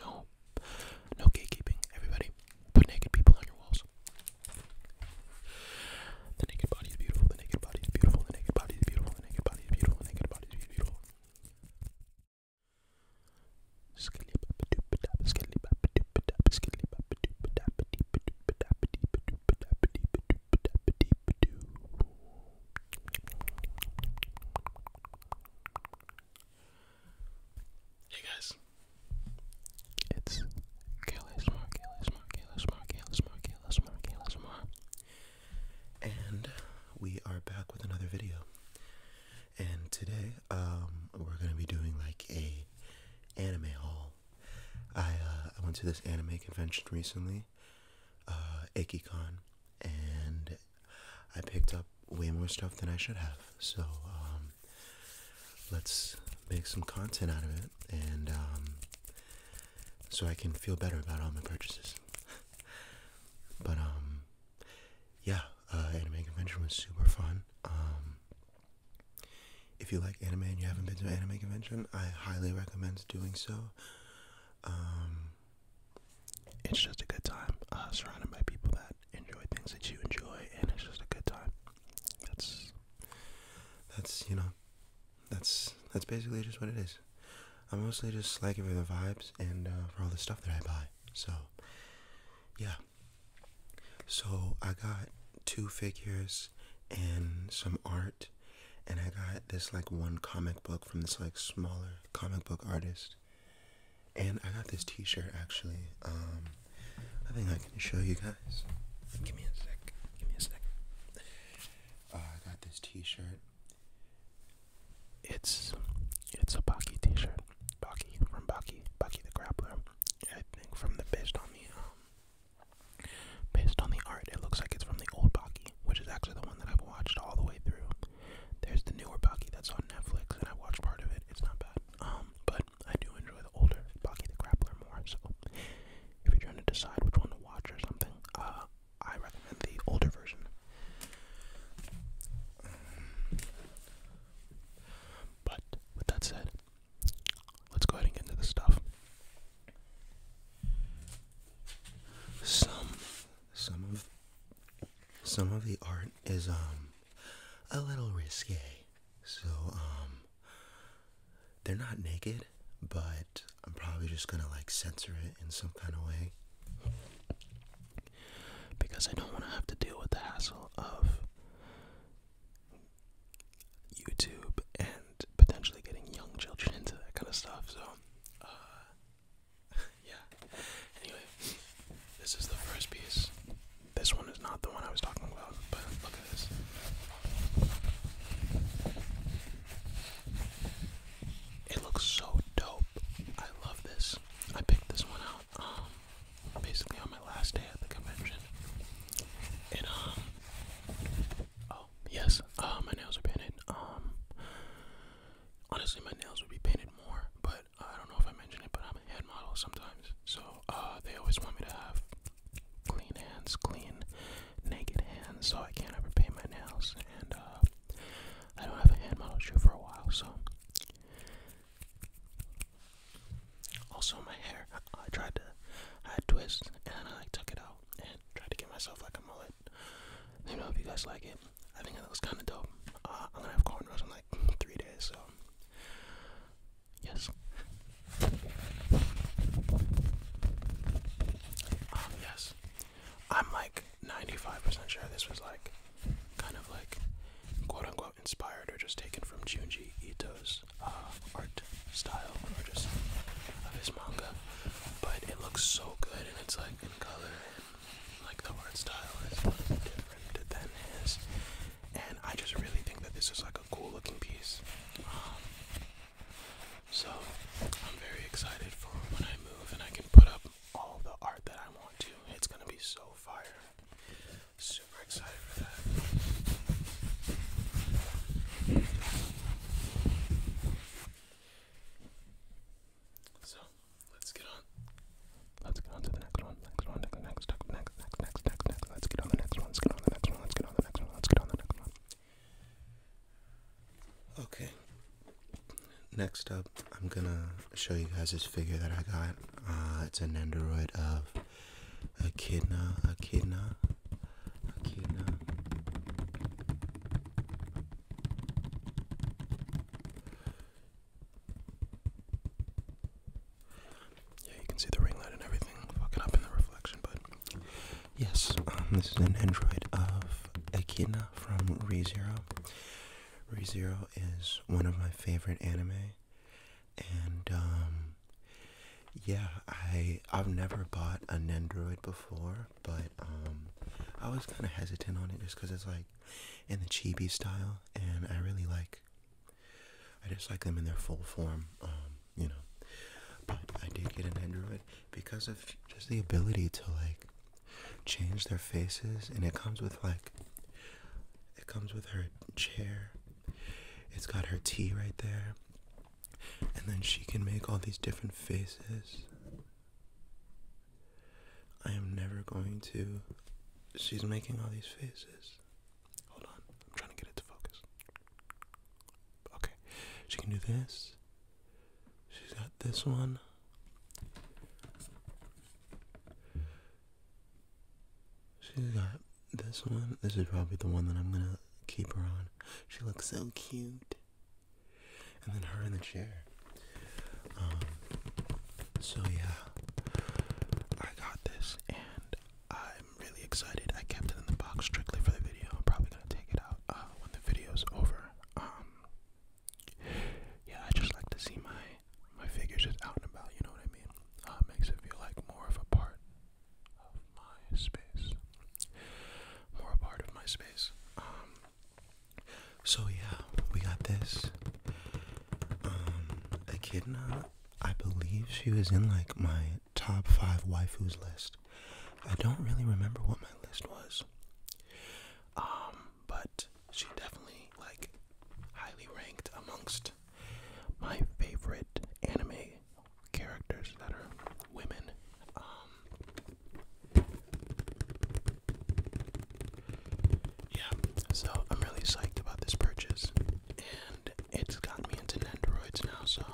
No, no gatekeeping. Everybody, put naked people on your walls. The naked body is beautiful. The naked body is beautiful. The naked body is beautiful. The naked body is beautiful. The naked body is beautiful. Skilly Hey guys, it's KLSMR, KLSMR, KLSMR, KLSMR, KLSMR, KLSMR, and we are back with another video. And today, um, we're gonna be doing like a anime haul. I uh, I went to this anime convention recently, uh, Aikicon, and I picked up way more stuff than I should have. So um, let's make some content out of it, and um, so I can feel better about all my purchases. but um, yeah, uh, anime convention was super fun. if you like anime and you haven't been to anime convention, I highly recommend doing so it's just a good time uh, surrounded by people that enjoy things that you enjoy and it's just a good time that's that's you know that's that's basically just what it is i mostly just like it for the vibes and uh, for all the stuff that i buy so yeah so i got two figures and some art and i got this like one comic book from this like smaller comic book artist and I got this t-shirt actually. Um I think I can show you guys. Give me a sec. Give me a sec. Uh, I got this t-shirt. It's it's a Baki t-shirt. Baki from Baki. Baki the Grappler. I think from the based on the um based on the art, it looks like it's from the old Baki, which is actually the one that I've watched all the way through. There's the newer Baki that's on Netflix, and I watched part of it. It's not bad. Um, but I do enjoy the older Baki the Grappler more. So if you're trying to decide which one to watch or something, uh, I recommend the older version. But with that said, let's go ahead and get into the stuff. Some, some of some of the art is um a little risque. So um they're not naked, but I'm probably just gonna like censor it in some kind of way. Because I don't wanna have to deal with the hassle of YouTube and potentially getting young children into that kind of stuff. So uh, yeah. Anyway, this is the first piece. This one is not the one I was talking about, but look at this. It looks so dope. I love this. I picked this one out um, basically on my last day at the convention. And, um, oh, yes, uh, my nails are painted. Um, Honestly, my nails would be painted more, but I don't know if I mentioned it, but I'm a head model sometimes. So uh, they always want me to have clean hands, clean, naked hands, so I can't ever paint my nails. And uh, I don't have a hand model shoe for a while, so. Also, my hair, I tried to, add twists, and I took it out and tried to give myself like a mullet. Let me know if you guys like it. I think it looks kind of dope. Uh, I'm gonna have cornrows in like three days, so yes. Um, yes, I'm like 95% sure this was like kind of like quote unquote inspired or just taken from Junji Ito's uh, art style or just of his manga, but it looks so good and it's like in color and like the art style is different than his, and I just really think that this is like a cool looking piece. Um, so I'm very excited for when I move and I can put up all the art that I want to. It's gonna be so fire. Super excited for that. So let's get on. Let's get on to the next one. Next one, next, next, next, next, next, next, next, next. Let's get on the next one. Let's get on the next one. Let's get on the next one. Let's get on the next one. Okay. Next up, I'm gonna show you guys this figure that I got. Uh, it's an android of Echidna, Echidna, Echidna. Yeah, you can see the ring light and everything fucking up in the reflection, but yes, um, this is an android of Echidna from ReZero. ReZero is one of my favorite anime, and um, yeah, I I've never bought an android before but um, I was kind of hesitant on it just because it's like in the chibi style, and I really like. I just like them in their full form, um, you know. But I did get an Android because of just the ability to like change their faces, and it comes with like. It comes with her chair. It's got her tea right there. And then she can make all these different faces. I am never going to. She's making all these faces. Hold on, I'm trying to get it to focus. Okay, she can do this. She's got this one. She's got this one. This is probably the one that I'm gonna keep her on. She looks so cute and then her in the chair. Um, so yeah, I got this, and I'm really excited. I kept it in the box strictly for the video. I'm probably gonna take it out uh, when the video's over. Um, yeah, I just like to see my my figures just out and about. You know what I mean? Uh, makes it feel like more of a part of my space, more a part of my space. Um, so yeah, we got this. Um, Echidna, I believe she was in like my top five waifus list. I don't really remember what my list was. Um, but she definitely like highly ranked amongst my favorite anime characters that are women. Um, yeah, so I'm really psyched about this purchase, and it's got me into Nendoroids now. So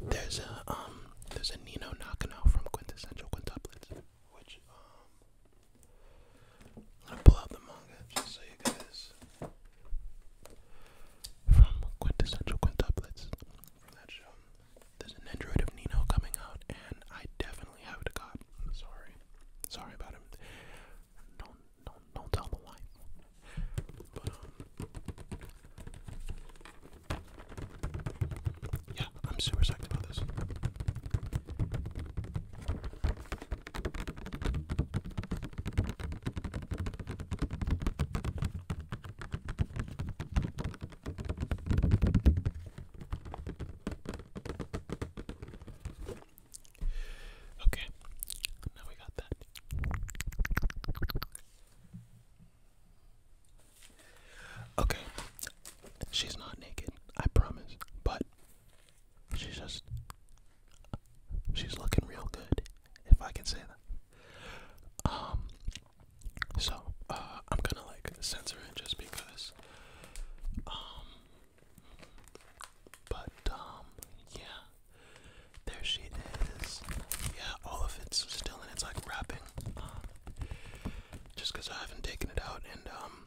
there's a um there's a Nino Nakano from Quintessential Quintuplets, which um i pull out the manga just so you guys from Quintessential Quintuplets from that show. There's an Android of Nino coming out, and I definitely have to got. Sorry, sorry about him. Don't, don't, don't tell the wife. But um, yeah, I'm super psyched about this. Okay, now we got that. Okay, she's not naked, I promise, but she's just. She's looking real good, if I can say that. Um, so, uh, I'm gonna like censor it just because. Um, but, um, yeah. There she is. Yeah, all of it's still in its like wrapping. Um, just because I haven't taken it out, and um,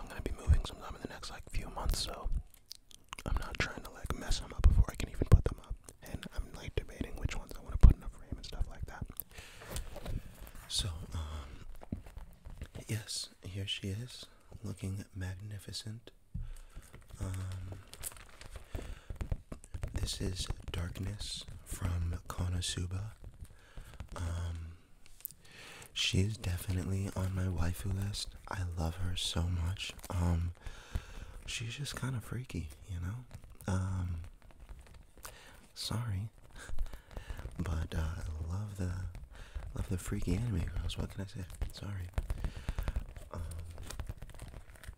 I'm gonna be moving sometime in the next like few months, so I'm not trying to like mess them up before I can even put them up and I'm like debating which ones I want to put in a frame and stuff like that. So, um, yes, here she is, looking magnificent. Um, this is Darkness from Konosuba. Um, she's definitely on my waifu list. I love her so much. Um, she's just kind of freaky, you know? Sorry, but uh, I love the love the freaky anime girls. What can I say? Sorry. Um,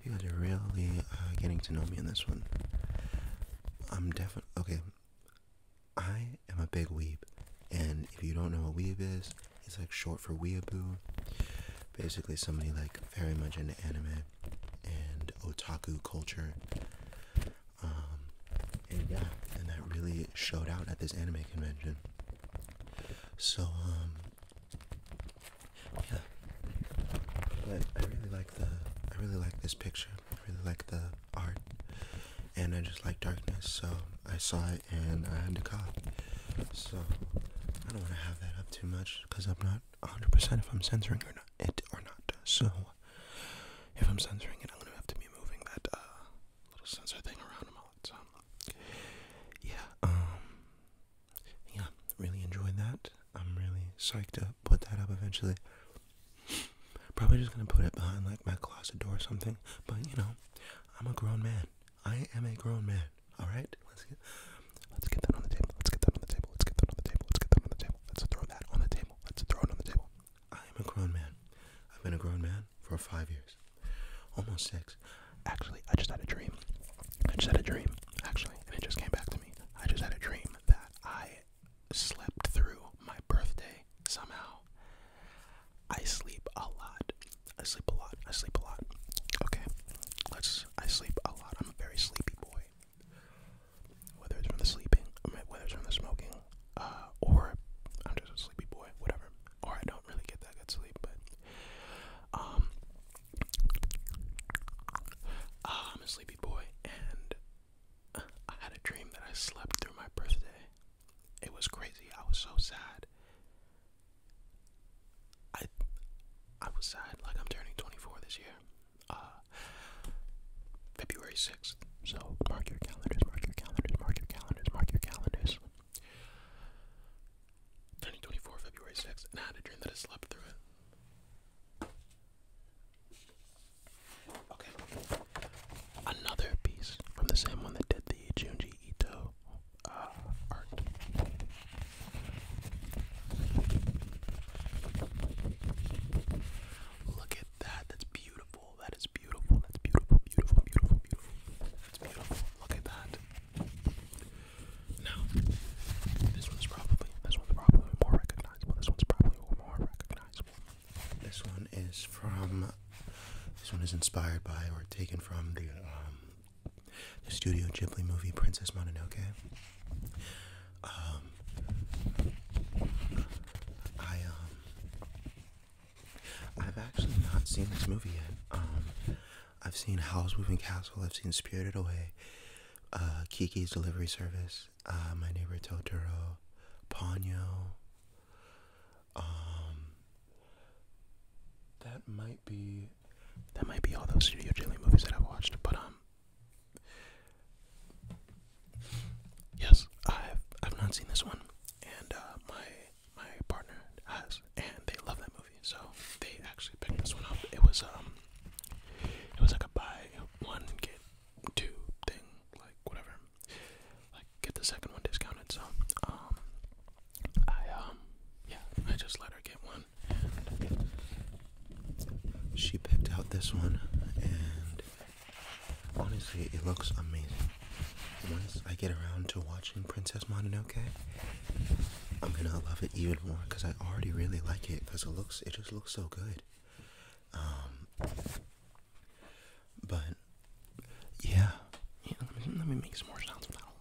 you guys are really uh, getting to know me in this one. I'm definitely okay. I am a big weeb, and if you don't know what weeb is, it's like short for weeaboo. Basically, somebody like very much into anime and otaku culture. Um, and yeah, and that really showed out at this anime convention. So, um, yeah, but I really like the, I really like this picture. I really like the art, and I just like darkness. So I saw it and I had to cop. So I don't want to have that up too much because I'm not 100 percent if I'm censoring or not, it or not. So if I'm censoring it, I'm gonna have to be moving that uh, little censor thing around a lot. So yeah, um, yeah, really enjoying that. I'm really psyched to put that up eventually. Probably just gonna put it behind like my closet door or something. But you know, I'm a grown man. I am a grown man. All right, let's get let's get that on the table. Let's get that on the table. Let's get that on the table. Let's get that on the table. Let's throw that on the table. Let's throw it on the table. I am a grown man. I've been a grown man for five years, almost six. Actually, I just had a dream. I just had a dream, actually, and it just came back to me. I just had a dream that I slept through my birthday somehow. I sleep a lot. I sleep a lot. I sleep a lot. Okay. Let's I sleep a lot. I'm a very sleepy boy. Whether it's from the sleeping, whether it's from the smoking, uh, or I'm just a sleepy boy, whatever. Or I don't really get that good sleep, but um, uh, I'm a sleepy boy, and I had a dream that I slept through my birthday. It was crazy. I was so sad. I I was sad. Like I'm turning 24 this year. Uh, February 6th. So mark your calendars. Mark your calendars. Mark your calendars. Mark your calendars. 24 February 6th, and I had a dream that I slept through it. Okay. Another piece from the same one that did the Junji Ito uh, art. Look at that. That's beautiful. That is beautiful. That's beautiful, beautiful, beautiful, beautiful. That's beautiful. Look at that. Now, this one's probably this one's probably more recognizable. This one's probably more recognizable. This one is from. This one is inspired by or taken from the um, the Studio Ghibli movie Princess Mononoke. Um, I um, I've actually not seen this movie yet. Um, I've seen Howl's Moving Castle. I've seen Spirited Away. Uh, Kiki's Delivery Service. Uh, My Neighbor Totoro. Ponyo. that might be that might be all those Studio Ghibli movies that I've watched, but um, yes, I've I've not seen this one, and uh, my my partner has, and they love that movie, so they actually picked this one up. It was um, it was like a buy one get two thing, like whatever, like get the second one discounted. So um, I um, yeah, I just let her get one, she picked out this one, and honestly, it looks amazing. Once I get around to watching Princess Mononoke, I'm gonna love it even more because I already really like it because it looks it just looks so good. Um, but yeah, yeah let, me, make some more sounds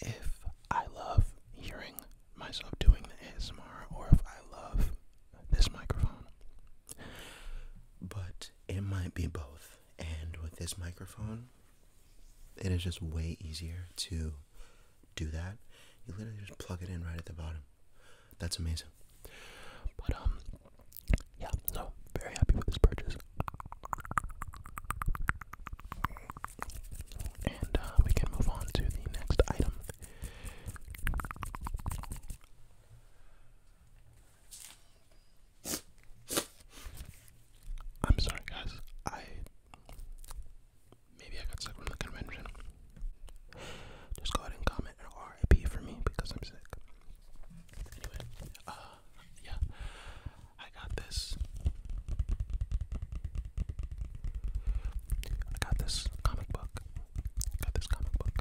if I love hearing myself doing the ASMR or if I love this microphone. But it might be both. And with this microphone, it is just way easier to do that. You literally just plug it in right at the bottom. That's amazing. But, um, yeah, so very happy with this purchase. And uh, we can move on to the next item. I'm sorry, guys. I maybe I got sick from the convention. Just go ahead and comment RIP for me because I'm sick. Anyway, uh, yeah, I got I got this comic book. got this comic book.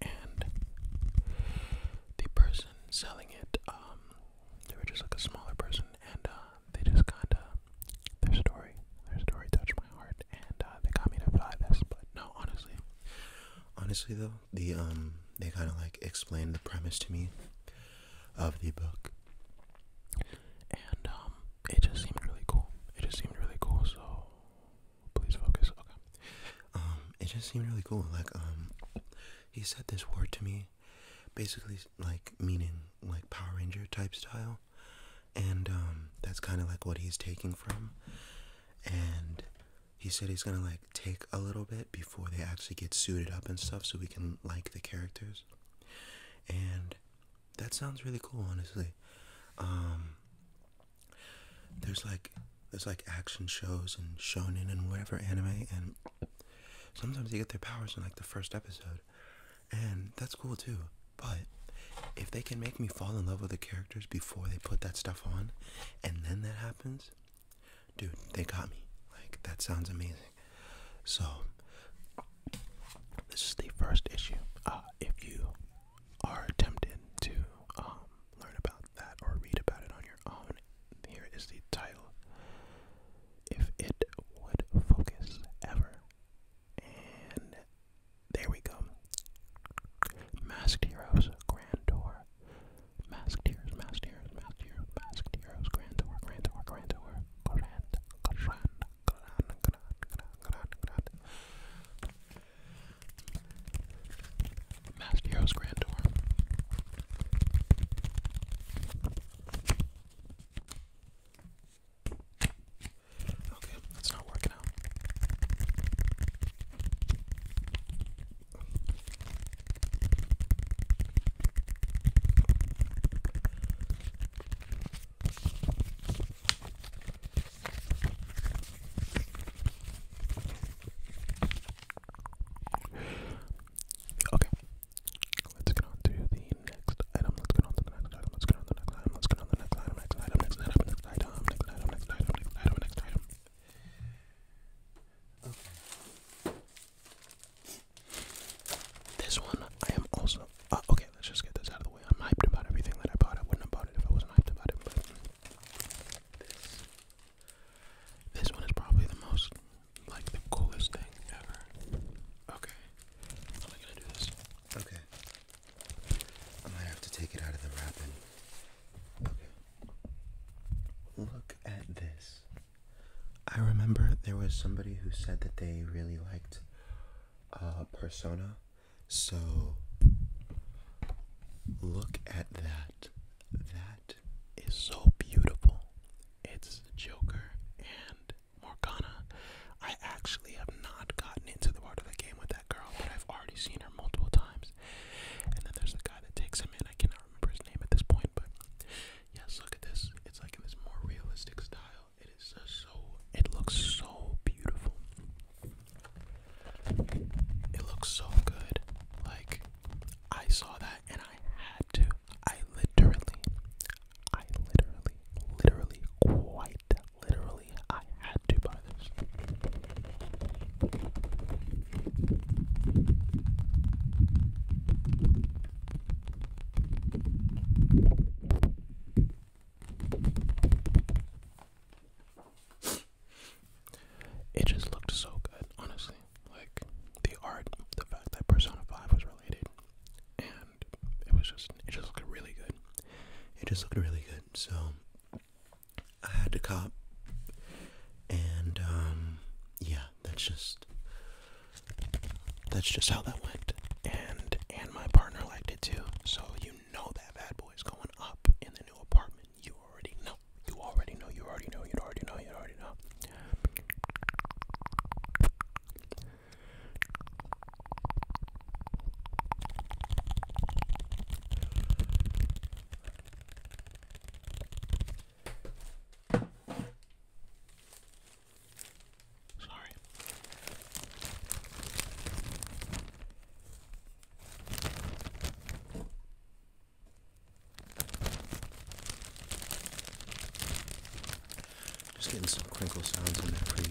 And the person selling it, um, they were just like a smaller person, and uh, they just kinda, their story, their story touched my heart, and uh, they got me to buy this. But no, honestly, honestly though, the um, they kind of like explained the premise to me, of the book. And um, it just seemed really cool. It just seemed really cool. So please focus. Okay. Um, it just seemed really cool. Like um, he said this word to me, basically like meaning like Power Ranger type style, and that's kind of like what he's taking from. And he said he's gonna like take a little bit before they actually get suited up and stuff, so we can like the characters and that sounds really cool, honestly. Um, there's like there's like action shows and shonen and whatever anime, and sometimes they get their powers in like the first episode, and that's cool too. But if they can make me fall in love with the characters before they put that stuff on, and then that happens, dude, they got me. Like that sounds amazing. So, this is the first issue. Uh, if you are tempted to um, learn about that or read about it on your own, here is the title. If it would focus ever. And there we go. Masked Heroes, Grand Masked Heroes, Masked Heroes, Masked Heroes, Masked Heroes, Grand Tour, Grand grand, grand, grand, grand, grand, grand. Mastio's Grand Tour. Okay, it's not working out. Okay, let's get on to the next item. Let's get on to the next item. Let's get on to the next item. Let's get on to the next item. Next item. Next item. Next item. Next item. Next item. Next item. This one, I am also. Uh, okay, let's just get this out of the way. I'm hyped about everything that I bought. I wouldn't have bought it if I wasn't hyped about it. But this, this one is probably the most, like, the coolest thing ever. Okay, how am I gonna do this? Okay, I might have to take it out of the wrapping. Okay. Look at this. I remember there was somebody who said that they really liked uh, Persona, so look at that. That is so beautiful. It's the Joker and Morgana. I actually have not gotten into the part of the game with that girl, but I've already seen her multiple times. And then there's the guy that takes him in. I cannot remember his name at this point, but Yes, look at this. It's like in this more realistic style. It is so. It looks so beautiful. It looks so good. Like I saw that and I had to. I literally, I literally, literally, quite literally, I had to buy this. It just looked so good, honestly. Like the art, the fact that Persona 5 was related, and it was just it just looked really good. It just looked really good, so I had to cop. And um yeah, that's just that's just how that went. And and my partner liked it too. So you know that bad boy is going up in the new apartment. You already know. You already know. You already know. You already know. You already know. Sorry. Just getting some crinkle sounds in there pretty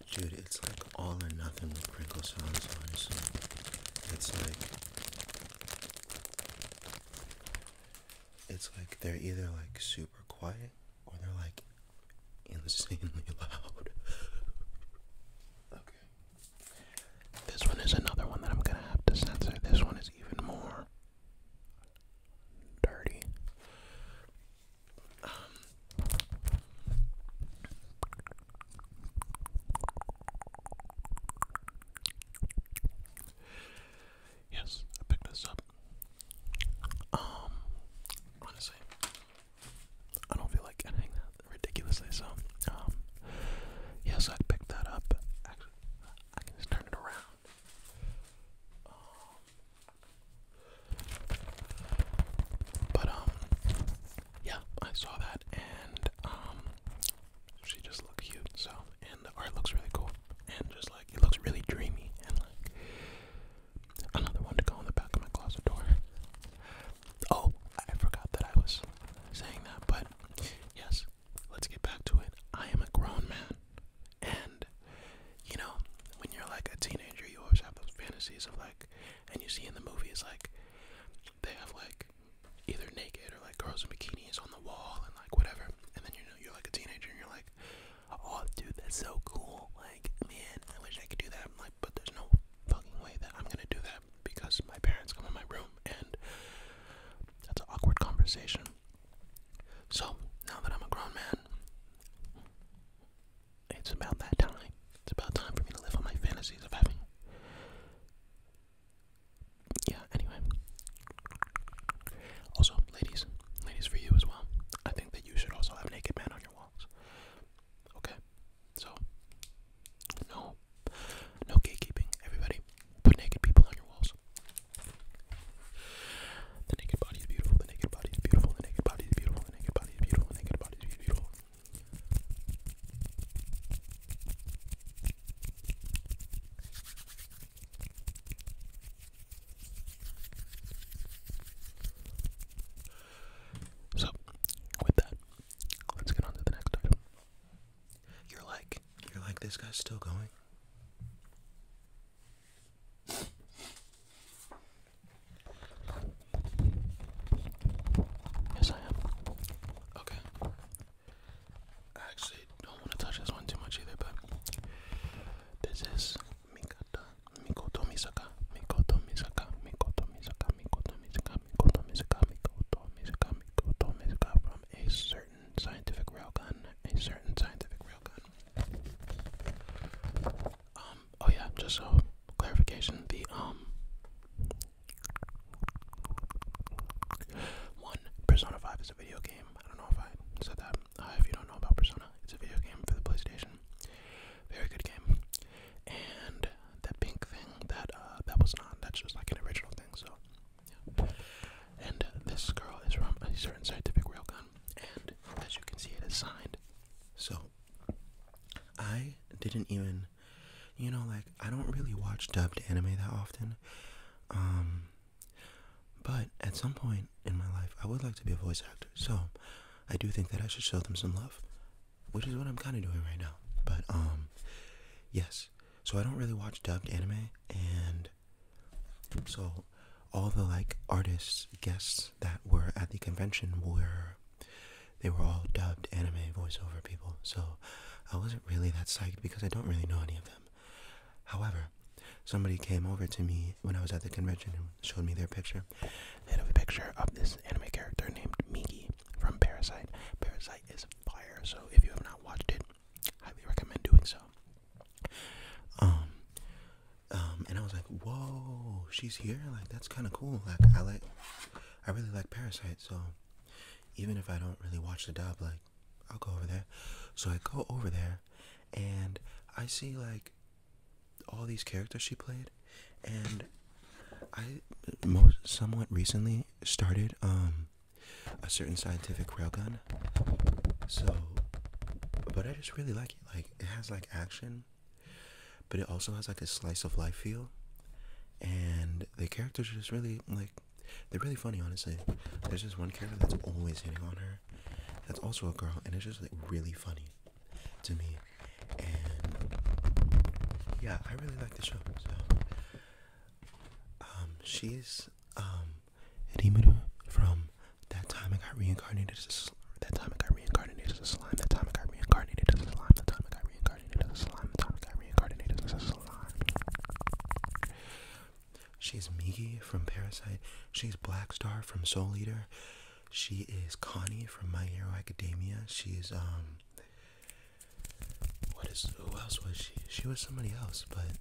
you Dude, it's like all or nothing with crinkle sounds, honestly. It's like. It's like they're either like super quiet or they're like insanely loud. okay. This one is another one that I'm gonna have to censor. This one is even more dirty yes, I picked this up. Um, honestly, I don't feel like editing that ridiculously, so, um, yes, I picked that up. Actually, I can just turn it around. Um, but um yeah, I saw that and um she just looked cute, so and the art looks really cool and just like it looks really dreamy and like another one to go on the back of my closet door. Oh, I forgot that I was saying that, but yes, let's get back to it. I am a grown man and you know, when you're like a teenager you always have those fantasies of like and you see in the movies, like, they have like either naked or like girls in bikinis on the wall and like whatever, and then you know you're like a teenager and you're like, oh dude, that's so cool, like man, I wish I could do that. like, but there's no fucking way that I'm gonna do that because my parents come in my room and that's an awkward conversation. So now that I'm a grown man, it's about that time. It's about time for me to live on my fantasies of having. Yeah, anyway. Also, ladies, ladies for you as well. I think that you should also have naked men on your walls. Okay? So, no. No gatekeeping. Everybody, put naked people on your walls. The naked body is beautiful. The naked body is beautiful. The naked body is beautiful. The naked body is beautiful. The naked body is beautiful. So, with that, let's get on to the next item. You're like, you're like, this guy's still going. Yes, I am. Okay. actually don't want to touch this one too much either, but this is Mikata, Mikoto Misaka, Mikoto Misaka, Mikoto Misaka, Mikoto Misaka, Mikoto Misaka, Mikoto Misaka, Mikoto Misaka from a certain scientific railgun, a certain scientific railgun. Um, oh yeah, just so clarification, the um one Persona 5 is a video game. I don't know if I said that. Uh, if you don't know about Persona, it's a video game for the PlayStation. Very good game. And that pink thing that uh that was not that's just like an original thing, so yeah. And this girl is from a certain scientific railgun, and as you can see, it is signed. So I didn't even, you know, like I don't really watch dubbed anime that often. Um, but at some point in my life, I would like to be a voice actor. So I do think that I should show them some love, which is what I'm kind of doing right now. But um, yes. So I don't really watch dubbed anime, and so all the like artists guests that were at the convention were they were all dubbed anime voiceover people, so I wasn't really that psyched because I don't really know any of them. However, somebody came over to me when I was at the convention and showed me their picture. They have a picture of this anime character named Miki from Parasite. Parasite is fire, so if you have not watched it, highly recommend doing so. Um, um, and I was like, "Whoa, she's here! Like that's kind of cool. Like I like, I really like Parasite. So even if I don't really watch the dub, like I'll go over there. So I go over there, and I see like all these characters she played, and I most somewhat recently started um a certain scientific railgun. So, but I just really like it. Like it has like action but it also has like a slice of life feel and the characters are just really like they're really funny honestly there's this one character that's always hitting on her that's also a girl and it's just like really funny to me and yeah i really like the show so um, she's um Rimuru from that time I got reincarnated as a That time I got reincarnated as a slime. That time I got reincarnated as a slime. That time I got reincarnated as a slime. That time I got reincarnated as a slime. She's Miki from Parasite. She's Black Star from Soul Eater. She is Connie from My Hero Academia. She's um. What is? Who else was she? She was somebody else, but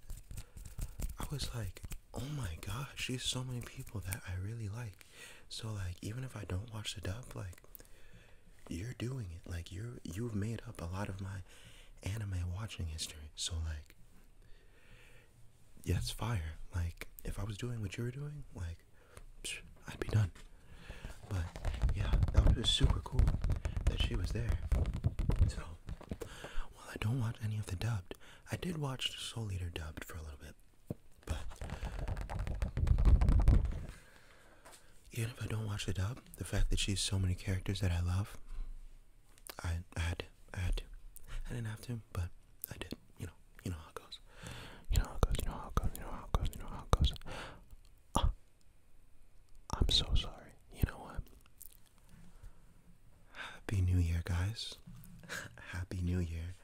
I was like, oh my gosh, she's so many people that I really like. So like even if I don't watch the dub, like you're doing it. Like you're you've made up a lot of my anime watching history. So like yeah, it's fire. Like if I was doing what you were doing, like I'd be done. But yeah, that was super cool that she was there. So while I don't watch any of the dubbed, I did watch Soul Eater dubbed for a little bit. But even if I don't watch the dub, the fact that she's so many characters that I love, I, I had to, I had to. I didn't have to, but I did. You know, you know how it goes. You know how it goes. You know how it goes. You know how it goes. You know how it goes. Uh, I'm so sorry. You know what? Happy New Year, guys. Happy New Year.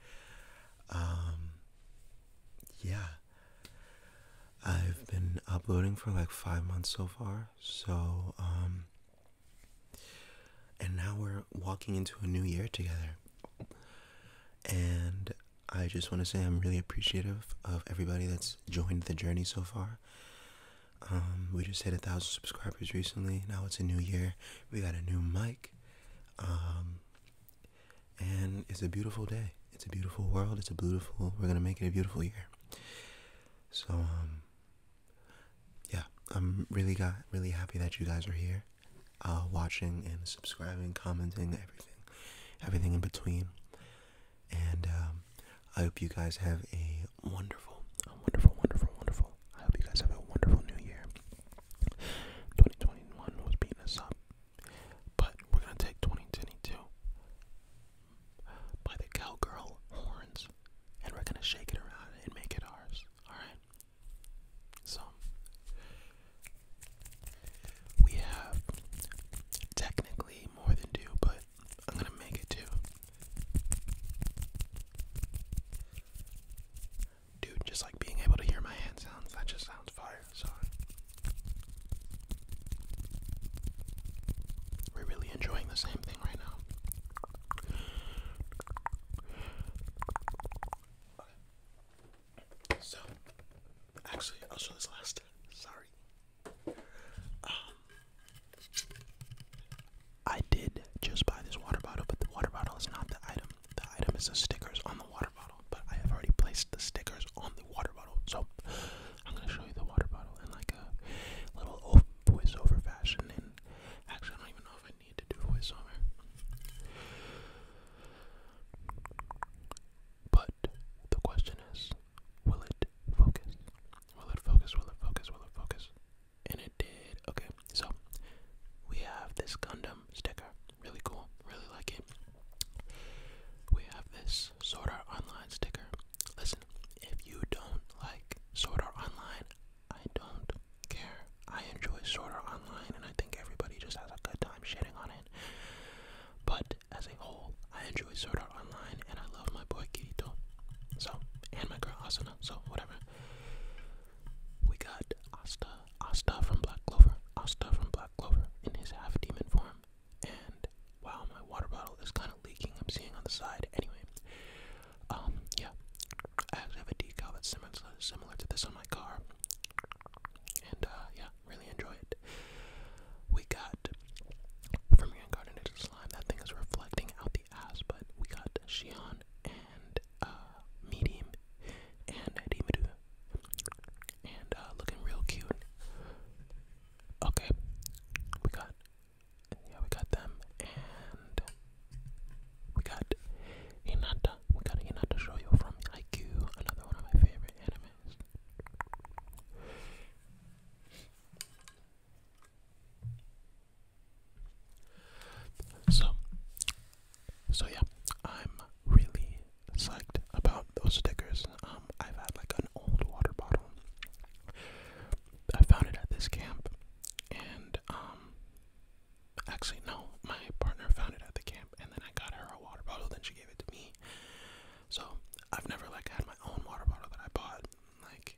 Um, yeah. I've been uploading for like five months so far, so, um, and now we're walking into a new year together. And I just want to say I'm really appreciative of everybody that's joined the journey so far. Um, we just hit a thousand subscribers recently. Now it's a new year. We got a new mic. Um, and it's a beautiful day. It's a beautiful world. It's a beautiful. We're gonna make it a beautiful year. So um, yeah, I'm really got really happy that you guys are here, uh, watching and subscribing, commenting, everything, everything in between. And um, I hope you guys have a wonderful, a wonderful, wonderful, wonderful I hope you guys have a wonderful new year. 2021 was beating us up, but we're gonna take 2022 by the cowgirl horns, and we're gonna shake it around and make it ours. All right. So we have technically more than two, but I'm gonna make it two. Dude, just like being able to hear my hand sounds, that just sounds fire. So we're really enjoying the same thing right now. So, actually, I'll show this last. Sorry. Um, I did just buy this water bottle, but the water bottle is not the item. The item is the stickers on the water bottle, but I have already placed the stickers on the water bottle. So I'm gonna show you the water bottle in like a little voiceover fashion. And actually, I don't even know if I need to do voiceover. But the question is, will it focus? Will it focus? Will it focus? Will it focus? and it did. Okay, so we have this Gundam sticker, really cool, really like it. We have this Sword Art Online sticker. Listen, if you don't like Sword Art Online, I don't care. I enjoy Sword Art Online, and I think everybody just has a good time shitting on it. But as a whole, I enjoy Sword Art Online, and I love my boy Kirito, so and my girl Asuna, so whatever. We got Asta, Asta from Black Clover, Asta from Black Clover in his half demon form. And wow, my water bottle is kind of leaking. I'm seeing on the side. Anyway, um, yeah, I actually have a decal that's similar similar to this on my car. And uh, yeah, really enjoy it. We got from Reincarnated Slime. That thing is reflecting out the great but we got Xian and uh, Medium and Dimidu. And uh, looking real cute. Okay, we got, yeah, we got them, and we got Hinata. We got Hinata Shoyo from IQ, another one of my favorite animes. So, so yeah, I'm really psyched about those stickers. Um, I've had like an old water bottle. I found it at this camp, and um, actually no, my partner found it at the camp, and then I got her a water bottle. Then she gave it to me. So I've never like had my own water bottle that I bought. Like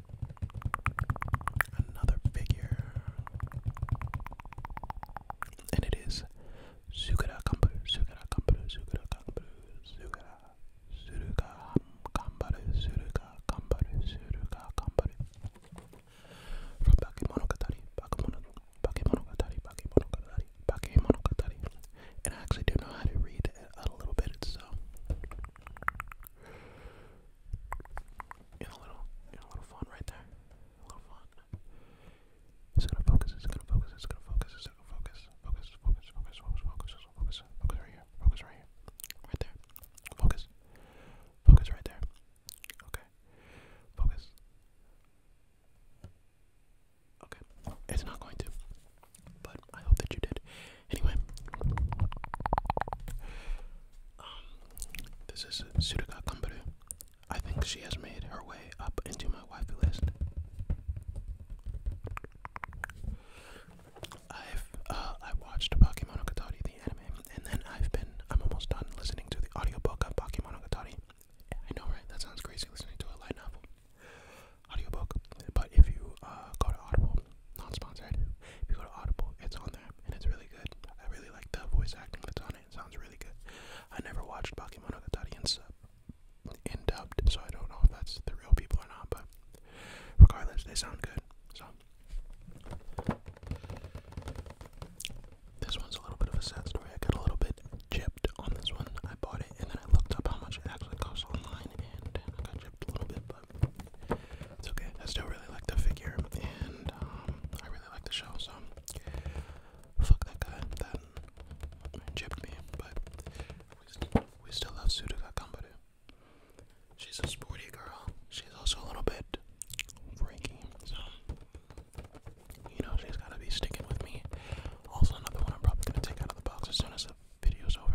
another figure, and it is Sugara Kambaru, Sugara Kambaru, Sugara Kambaru, Sugara, Suruga Kambaru, Suruga Kambaru, Suruga Kambaru. From Bakemonogatari, Bakemonogatari, Bakemonogatari, Bakemonogatari, Bakemonogatari. And I actually do know how to read a, a little bit, so in a little, in a little font right there. A little font. It's gonna focus. It's gonna focus. It's gonna focus. It's gonna Focus. Focus. Focus. Focus. Focus. Focus. Focus right here. Focus right here. Right there. Focus. Focus right there. Okay. Focus. Okay. It's not going to. But I hope that you did. Anyway, um, this is Tsuruga Kambaru. I think she has made her way up into my waifu list. I've uh, I watched Bakemonogatari the anime, and then I've been I'm almost done listening to the audiobook of Pokemon Bakemonogatari. I know, right? That sounds crazy listening to a light novel audiobook. But if you uh, go to Audible not sponsored. If you go to Audible, it's on there, and it's really good. I really like the voice acting that's on it. It sounds really good. I never watched Pokemon Ogatari in sub, in dubbed, so I don't know if that's the real people or not, but regardless, they sound good. So, this one's a little bit of a sad story. I got a little bit chipped on this one. I bought it, and then I looked up how much it actually costs online, and I got gypped a little bit it's okay. I still really like the figure, and um, I really like the show. So fuck that guy that gypped me, but we, still love Sudoka Kambaru. She's a sporty girl. She's also a little bit freaky, so you know she's gotta be sticking with me. Also, another one I'm probably gonna take out of the box as soon as the video's over.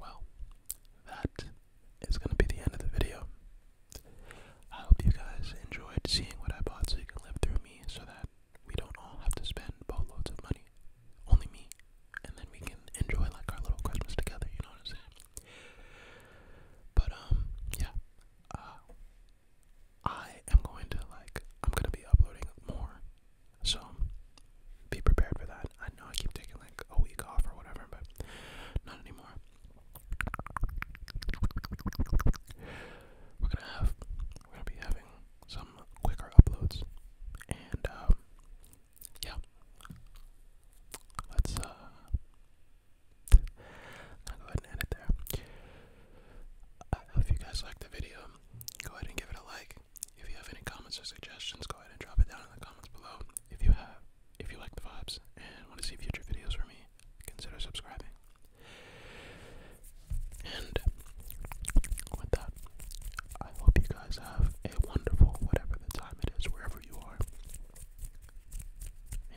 well, that is going to be the end of the video. I hope you guys enjoyed seeing what I bought so you can live through me so that we don't all have to spend boatloads of money. Only me. And then we can enjoy like our little Christmas together, you know what But um, yeah. Uh, I am going to like I'm gonna be uploading more so be prepared for that. I know I keep taking like a week off or whatever, but not anymore. We're gonna have we're gonna be having some quicker uploads and um, yeah. Let's uh go ahead and end it there. Uh, if you guys liked the video, go ahead and give it a like. If you have any comments or suggestions, go ahead and drop it down in the comments below. If you have, if you like the vibes and want to see future videos from me, consider subscribing. And with that, I hope you guys have a wonderful whatever the time it is, wherever you are.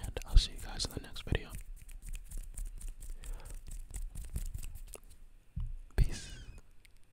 And I'll see you guys in the next video. Peace.